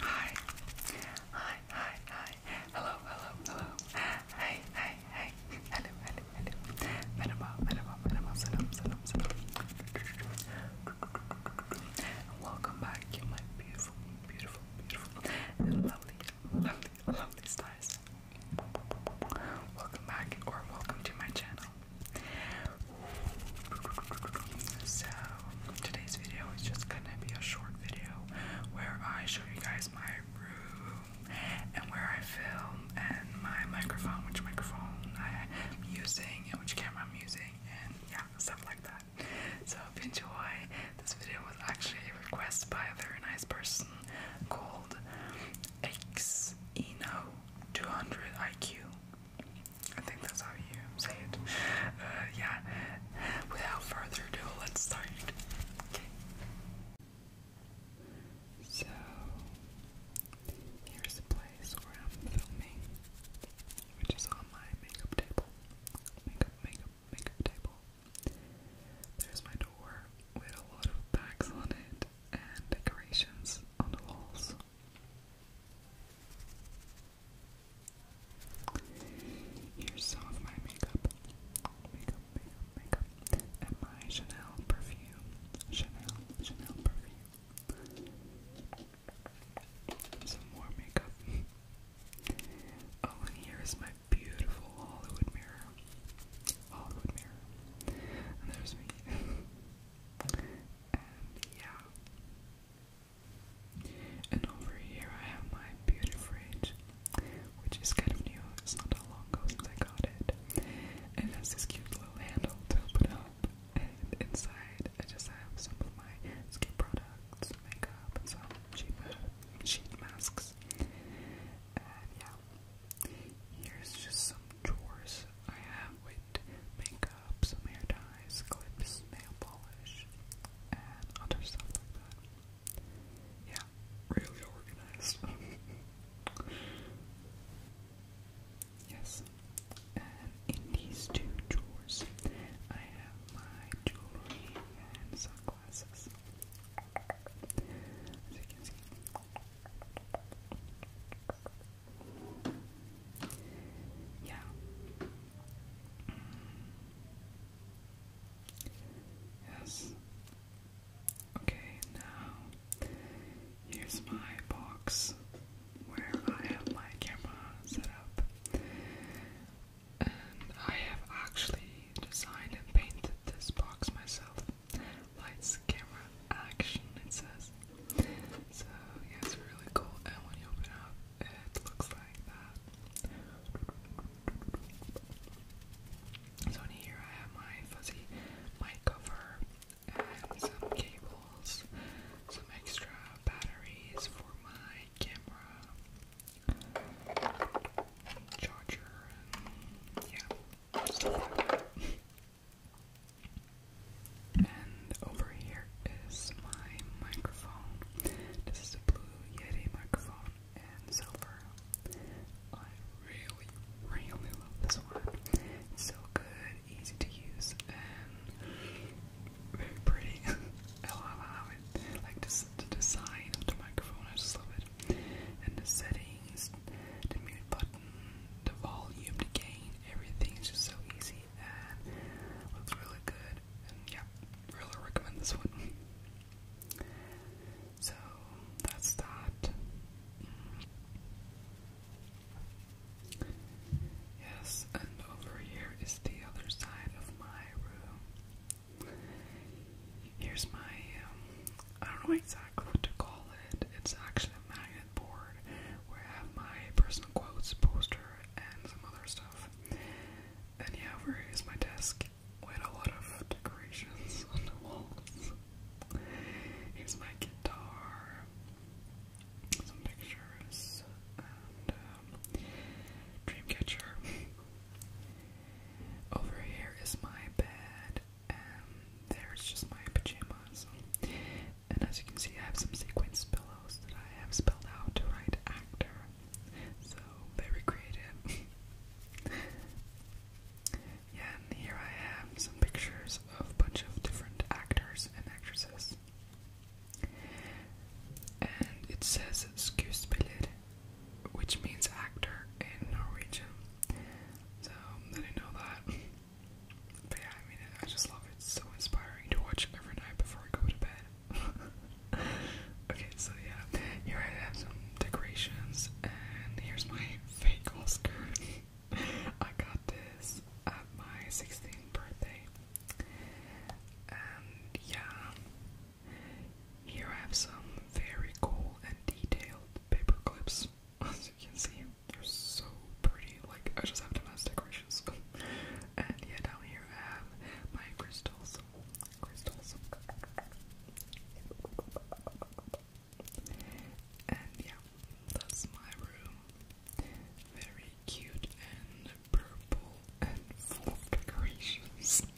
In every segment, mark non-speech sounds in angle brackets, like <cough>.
Hi. Hi, hi, hi. Hello, hello, hello. Hey, hey, hey. Hello, hello, hello. Merhaba, merhaba, merhaba. Selam, selam, selam. welcome back, you my beautiful, beautiful, beautiful, lovely, lovely, lovely stars. Welcome back or welcome to my channel. So, today's video is just gonna be a short video where I show you guys my room and where I film and my microphone, which microphone I'm using and which camera I'm using, and yeah, stuff like that. So, enjoy, this video was actually a request by a very nice person called Xeno200IQ. I think that's how you say it. Uh, yeah, without further ado, let's start. Okay. So, here's the place where I'm filming, which is on my makeup table. Makeup, makeup, makeup table. There's my door with a lot of bags on it and decorations on the walls. Here's some of my makeup. Makeup, makeup, makeup. And my Chanel perfume. Chanel, Chanel perfume. Some more makeup. Oh, and here is my beautiful Hollywood mirror. Hollywood mirror. And there's me. <laughs> And yeah. And over here I have my beauty fridge, which is kind of new. It's not that long ago since I got it. And it has this cute little handle to open up. And inside I just have some of my skin products, makeup, and some sheet, ma sheet masks. And yeah, here's just some chores I have with makeup, some hair ties, clips, nail polish, and other stuff like that. Yeah, really organized. <laughs> yes, and in these two drawers, I have my jewelry and sunglasses. Yeah. Yes. Okay, now here's my box where I have my camera set up. And I have actually designed and painted this box myself. Lights, camera, action, it says. So, yeah, it's really cool. And when you open up, it looks like that. So, in here, I have my fuzzy mic cover and some cables, some extra batteries for my camera, charger, yeah. And over here is my microphone. This is a Blue Yeti microphone in silver. I really, really love this one. It's so good, easy to use, and very pretty. <laughs> I love it, like, the design of the microphone, I just love it. And the settings, the mute button, the volume, the gain, everything's just so easy and looks really good. And yeah, really recommend this one. <laughs> So that's that. Yes, and over here is the other side of my room. Here's my, um, I don't know exactly what to call it. It's actually a magnet board where I have my personal quotes, poster, and some other stuff. And yeah, where is my desk with a lot of decorations on the walls. Here's my guitar, some pictures, and um, Dreamcatcher. Over here is my bed, and there's just my pajamas. And as you can see, I have some sequence pillows that I have spelled out to write actor. So, very creative. <laughs> yeah, and here I have some pictures of a bunch of different actors and actresses. And it says "excuse Skuespiller which means actor in Norwegian. So didn't know that. But yeah, I mean, I just love it. so inspiring to watch every night before I go to bed. <laughs> okay, so yeah, here I have some decorations, and here's my <laughs> fake Oscar. <laughs> I got this at my 16th birthday. And yeah, here I have some very cool and detailed paper clips. <laughs> As you can see, they're so pretty. Like, I just have them as <laughs> and yeah, down here I have my crystals. Crystals. And yeah, that's my room. Very cute and purple and full of decorations. <laughs>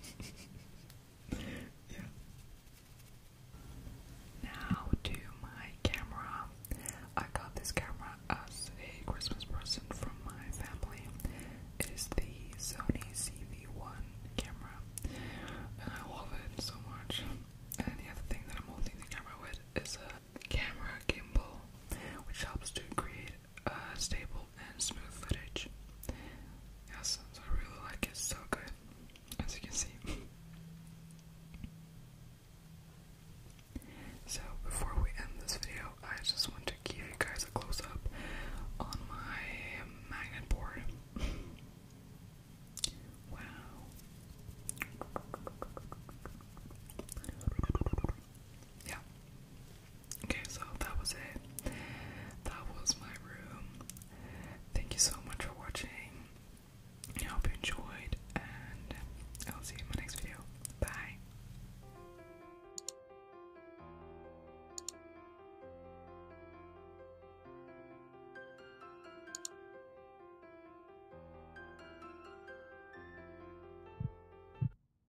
Now to my camera. I got this camera as a Christmas present from my family. It is the Sony CV1 camera, and I love it so much. And the other thing that I'm holding the camera with is a camera gimbal, which helps to create uh, stable and smooth footage. Yes, I really like it, so good, as you can see. so before we end this video, I just want to give you guys a close up on my magnet board. wow. Yeah, Okay, so that was it. That was my room. Thank you so much for watching. I hope you enjoyed, and I'll see you in my next video. Bye.